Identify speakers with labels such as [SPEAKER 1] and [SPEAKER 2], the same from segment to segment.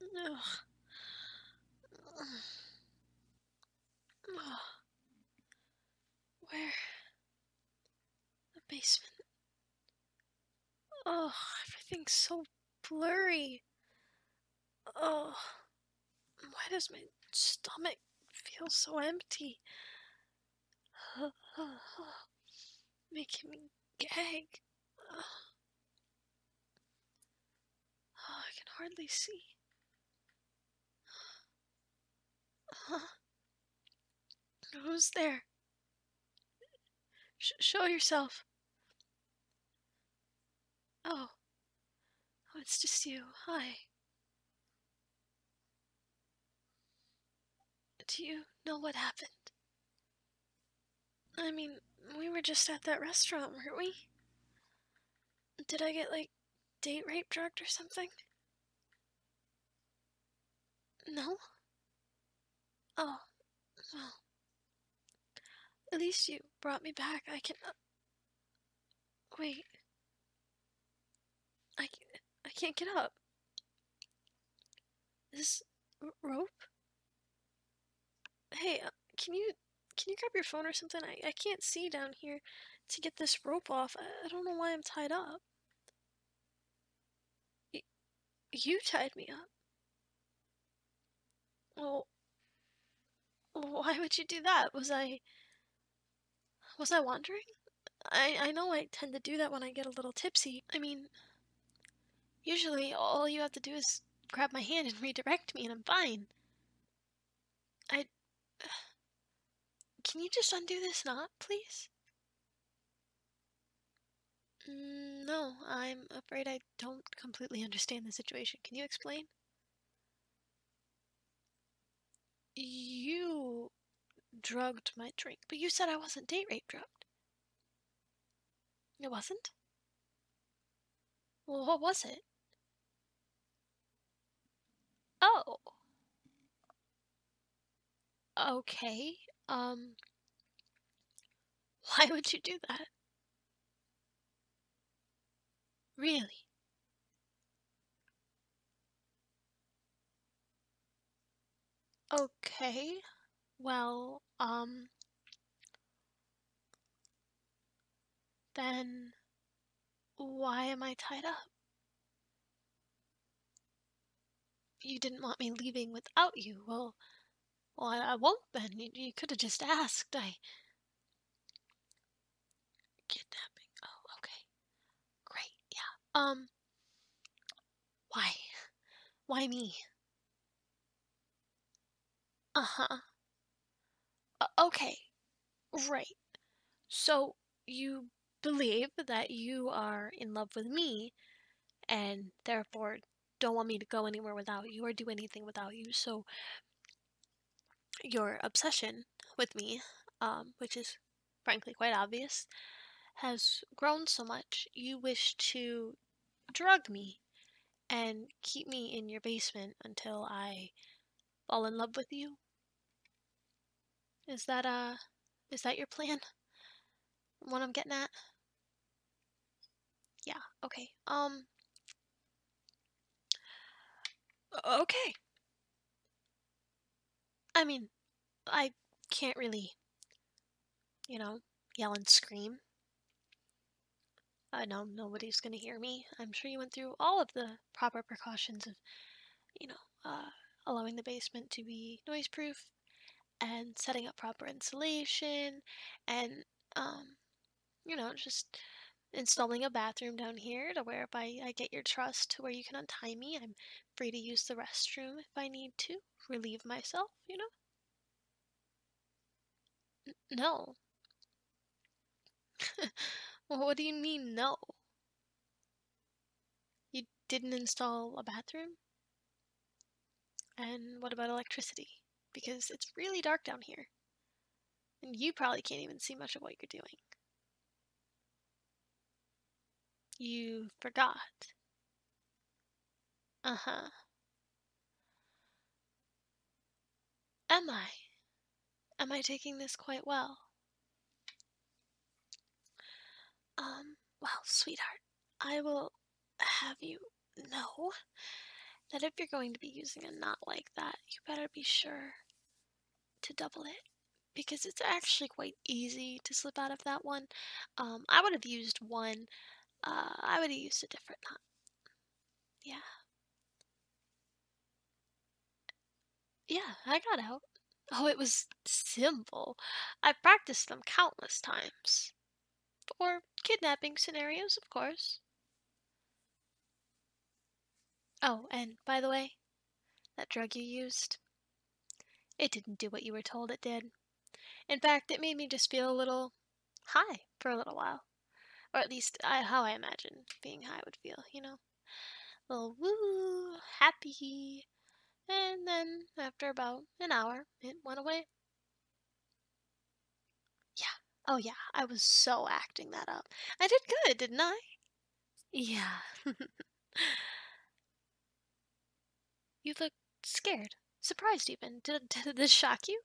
[SPEAKER 1] Ugh. Oh. Where? The basement. Oh, everything's so blurry. Oh, why does my stomach feel so empty? oh, Making me gag. I can hardly see. Huh? Who's there? show yourself. Oh. oh, it's just you. Hi. Do you know what happened? I mean, we were just at that restaurant, weren't we? Did I get, like, date rape drugged or something? No? Oh, well. At least you brought me back. I can. Uh, wait. I, I can't get up. This rope? Hey, uh, can you can you grab your phone or something? I, I can't see down here to get this rope off. I, don't know why I'm tied up. you tied me up. Well, why would you do that? Was I was I wandering? I I know I tend to do that when I get a little tipsy. I mean, Usually, all you have to do is grab my hand and redirect me, and I'm fine. I. Can you just undo this knot, please? Mm, no, I'm afraid I don't completely understand the situation. Can you explain? You drugged my drink, but you said I wasn't date rape drugged. It wasn't? what was it? Oh. Okay. Um. Why would you do that? Really? Okay. Well, um, then why am I tied up? You didn't want me leaving without you. Well, well, I, won't then. You, you could have just asked. I kidnapping. Oh, okay. Great. Yeah. Um why? Why me? Uh-huh. Uh, okay. Right. So, you believe that you are in love with me, and therefore don't want me to go anywhere without you or do anything without you, so your obsession with me, um, which is frankly quite obvious, has grown so much, you wish to drug me and keep me in your basement until I fall in love with you? Is that uh is that your plan? What I'm getting at? Yeah, okay. Um Okay. I mean, I can't really you know, yell and scream. I know nobody's going to hear me. I'm sure you went through all of the proper precautions of, you know, uh, allowing the basement to be noise proof and setting up proper insulation and, um, you know, just installing a bathroom down here to whereby I get your trust to where you can untie me, I'm free to use the restroom if I need to relieve myself, you know? No. what do you mean, no? You didn't install a bathroom? And what about electricity? Because it's really dark down here. And you probably can't even see much of what you're doing. You forgot. Uh huh. Am I? Am I taking this quite well? Um, well, sweetheart, I will have you know that if you're going to be using a knot like that, you better be sure to double it because it's actually quite easy to slip out of that one. Um, I would have used one uh, I would have used a different knot. Yeah. Yeah, I got out. Oh, it was simple. I practiced them countless times. For kidnapping scenarios, of course. Oh, and by the way, that drug you used, it didn't do what you were told it did. In fact, it made me just feel a little high for a little while. Or at least I, how I imagine being high would feel, you know? A little woo, happy. And then after about an hour, it went away. Yeah. Oh, yeah. I was so acting that up. I did good, didn't I? Yeah. You looked scared, surprised even. Did, did this shock you?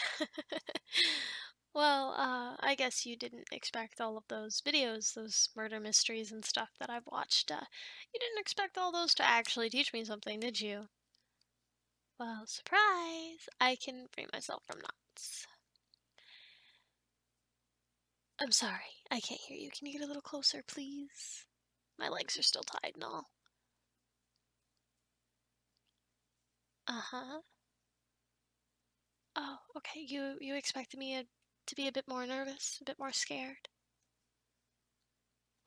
[SPEAKER 1] well, uh, I guess you didn't expect all of those videos, those murder mysteries and stuff that I've watched. Uh, you didn't expect all those to actually teach me something, did you? Well, surprise! I can free myself from knots. I'm sorry, I can't hear you. Can you get a little closer, please? My legs are still tied and all. Uh-huh. Oh, okay. You you expected me to be a bit more nervous, a bit more scared.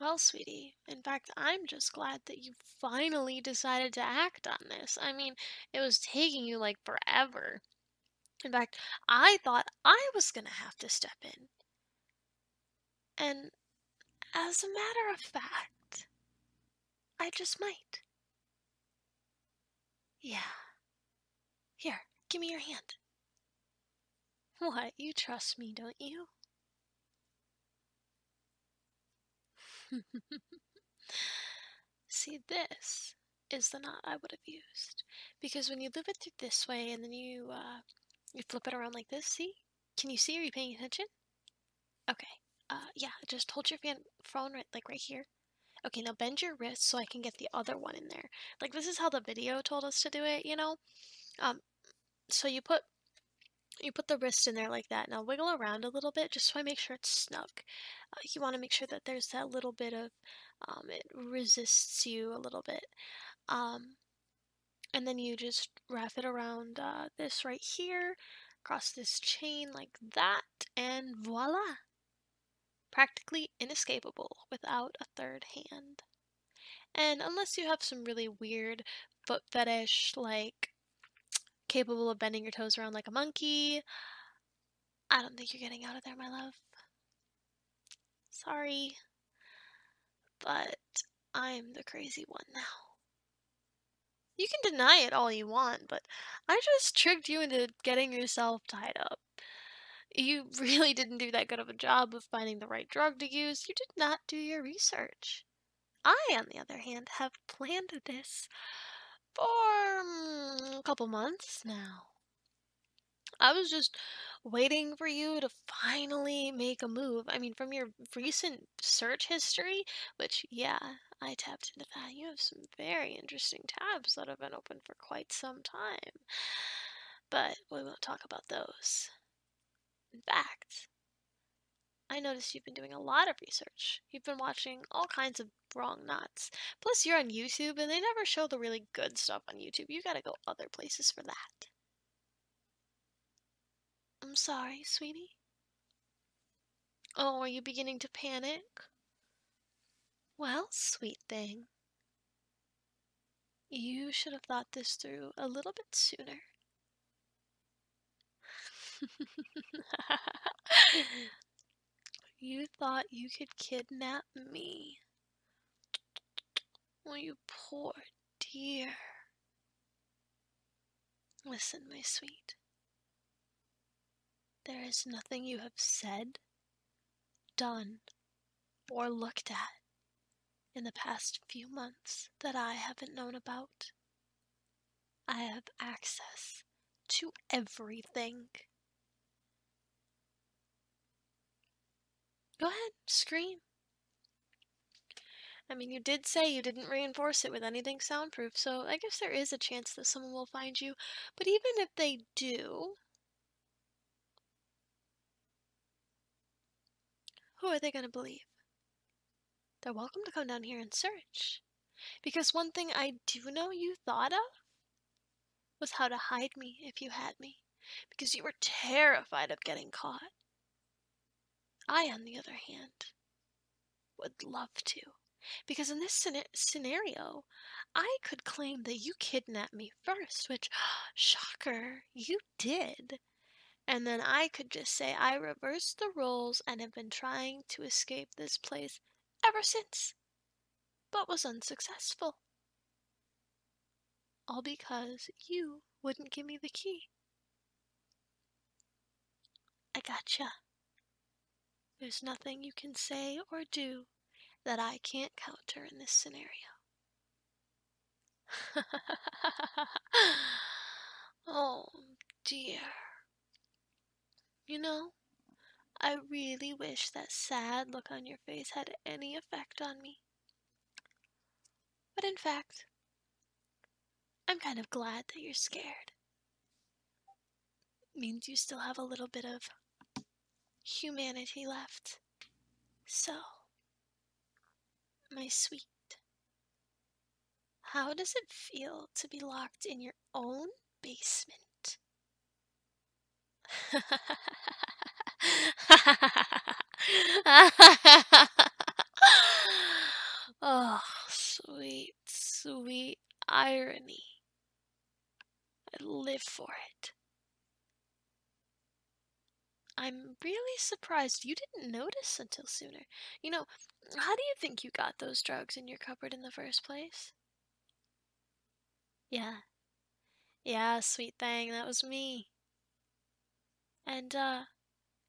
[SPEAKER 1] Well, sweetie, in fact, I'm just glad that you finally decided to act on this. I mean, it was taking you like forever. In fact, I thought I was going to have to step in. And as a matter of fact, I just might. Yeah. Here, give me your hand. What, you trust me, don't you? See, this is the knot I would have used because when you loop it through this way and then you uh, you flip it around like this, see? Can you see? Are you paying attention? Okay. Uh, yeah, just hold your phone right like right here. Okay, now bend your wrist so I can get the other one in there. Like this is how the video told us to do it, you know? Um, so you put you put the wrist in there like that. Now wiggle around a little bit just so I make sure it's snug. Uh, you want to make sure that there's that little bit of um, it resists you a little bit. Um, and then you just wrap it around uh, this right here, across this chain like that, and voila! Practically inescapable without a third hand. And unless you have some really weird foot fetish, like capable of bending your toes around like a monkey, I don't think you're getting out of there, my love. Sorry, but I'm the crazy one now. You can deny it all you want, but I just tricked you into getting yourself tied up. You really didn't do that good of a job of finding the right drug to use. You did not do your research. I, on the other hand, have planned this for mm, a couple months now. I was just waiting for you to finally make a move. I mean, from your recent search history, which, yeah, I tapped into that, you have some very interesting tabs that have been open for quite some time. But we won't talk about those. In fact, I noticed you've been doing a lot of research. You've been watching all kinds of wrong knots. Plus, you're on YouTube and they never show the really good stuff on YouTube. You gotta go other places for that. I'm sorry, sweetie. Oh, are you beginning to panic? Well, sweet thing. You should have thought this through a little bit sooner. you thought you could kidnap me. Oh, you poor dear. Listen, my sweet. There is nothing you have said, done, or looked at in the past few months that I haven't known about. I have access to everything. Go ahead, scream. I mean, you did say you didn't reinforce it with anything soundproof, so I guess there is a chance that someone will find you. But even if they do, who are they going to believe? They're welcome to come down here and search. Because one thing I do know you thought of was how to hide me if you had me, because you were terrified of getting caught. I, on the other hand, would love to, because in this scenario, I could claim that you kidnapped me first, which, shocker, you did. And then I could just say I reversed the roles and have been trying to escape this place ever since but was unsuccessful. All because you wouldn't give me the key. I gotcha. There's nothing you can say or do that I can't counter in this scenario. oh dear. You know, I really wish that sad look on your face had any effect on me. But in fact, I'm kind of glad that you're scared. It means you still have a little bit of humanity left. So, my sweet, how does it feel to be locked in your own basement oh, sweet, sweet irony. I live for it. I'm really surprised you didn't notice until sooner. You know, how do you think you got those drugs in your cupboard in the first place? Yeah. Yeah, sweet thing, that was me. And, uh,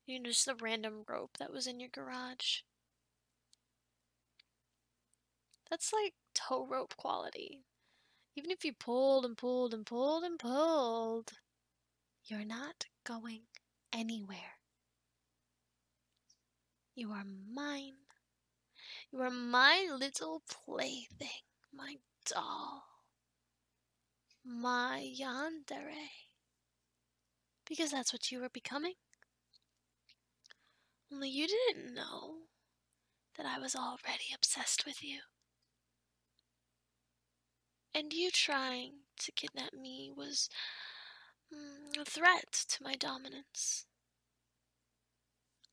[SPEAKER 1] you know, just the random rope that was in your garage. That's like tow rope quality. Even if you pulled and pulled and pulled and pulled, you're not going anywhere. You are mine you were my little plaything, my doll, my yonderay, because that's what you were becoming. Only you didn't know that I was already obsessed with you. And you trying to kidnap me was mm, a threat to my dominance.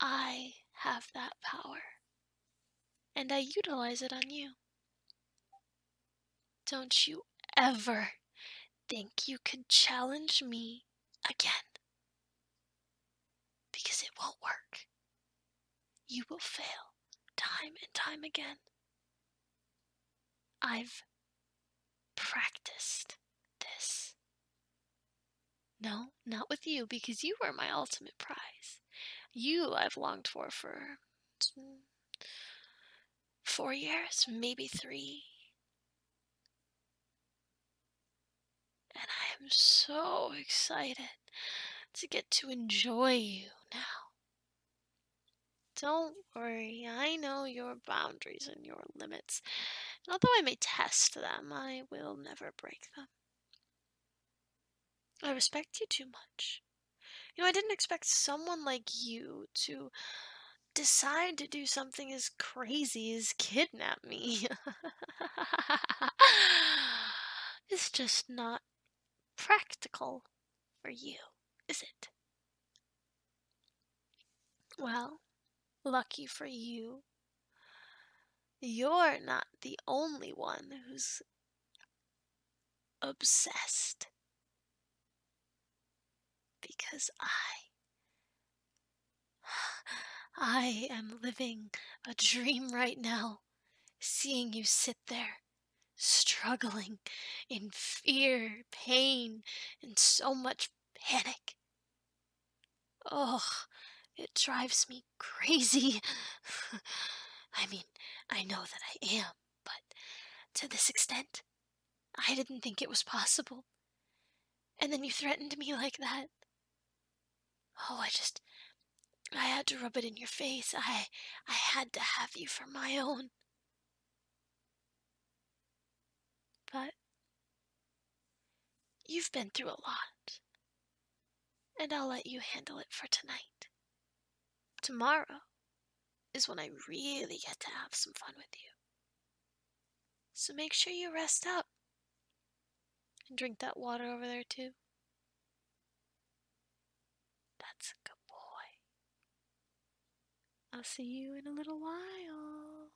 [SPEAKER 1] I have that power, and I utilize it on you. Don't you ever think you could challenge me again. Because it won't work. You will fail time and time again. I've practiced this no, not with you, because you are my ultimate prize. You I've longed for for four years, maybe three. And I am so excited to get to enjoy you now. Don't worry, I know your boundaries and your limits limits. And although I may test them, I will never break them. I respect you too much. You know, I didn't expect someone like you to decide to do something as crazy as kidnap me. it's just not practical for you, is it? Well, lucky for you, you're not the only one who's obsessed. Because I. I am living a dream right now, seeing you sit there, struggling in fear, pain, and so much panic. Oh, it drives me crazy. I mean, I know that I am, but to this extent, I didn't think it was possible. And then you threatened me like that. Oh, I just. I had to rub it in your face. I. I had to have you for my own. But You've been through a lot, and I'll let you handle it for tonight. Tomorrow is when I really get to have some fun with you. So make sure you rest up and drink that water over there, too. That's a good boy. I'll see you in a little while.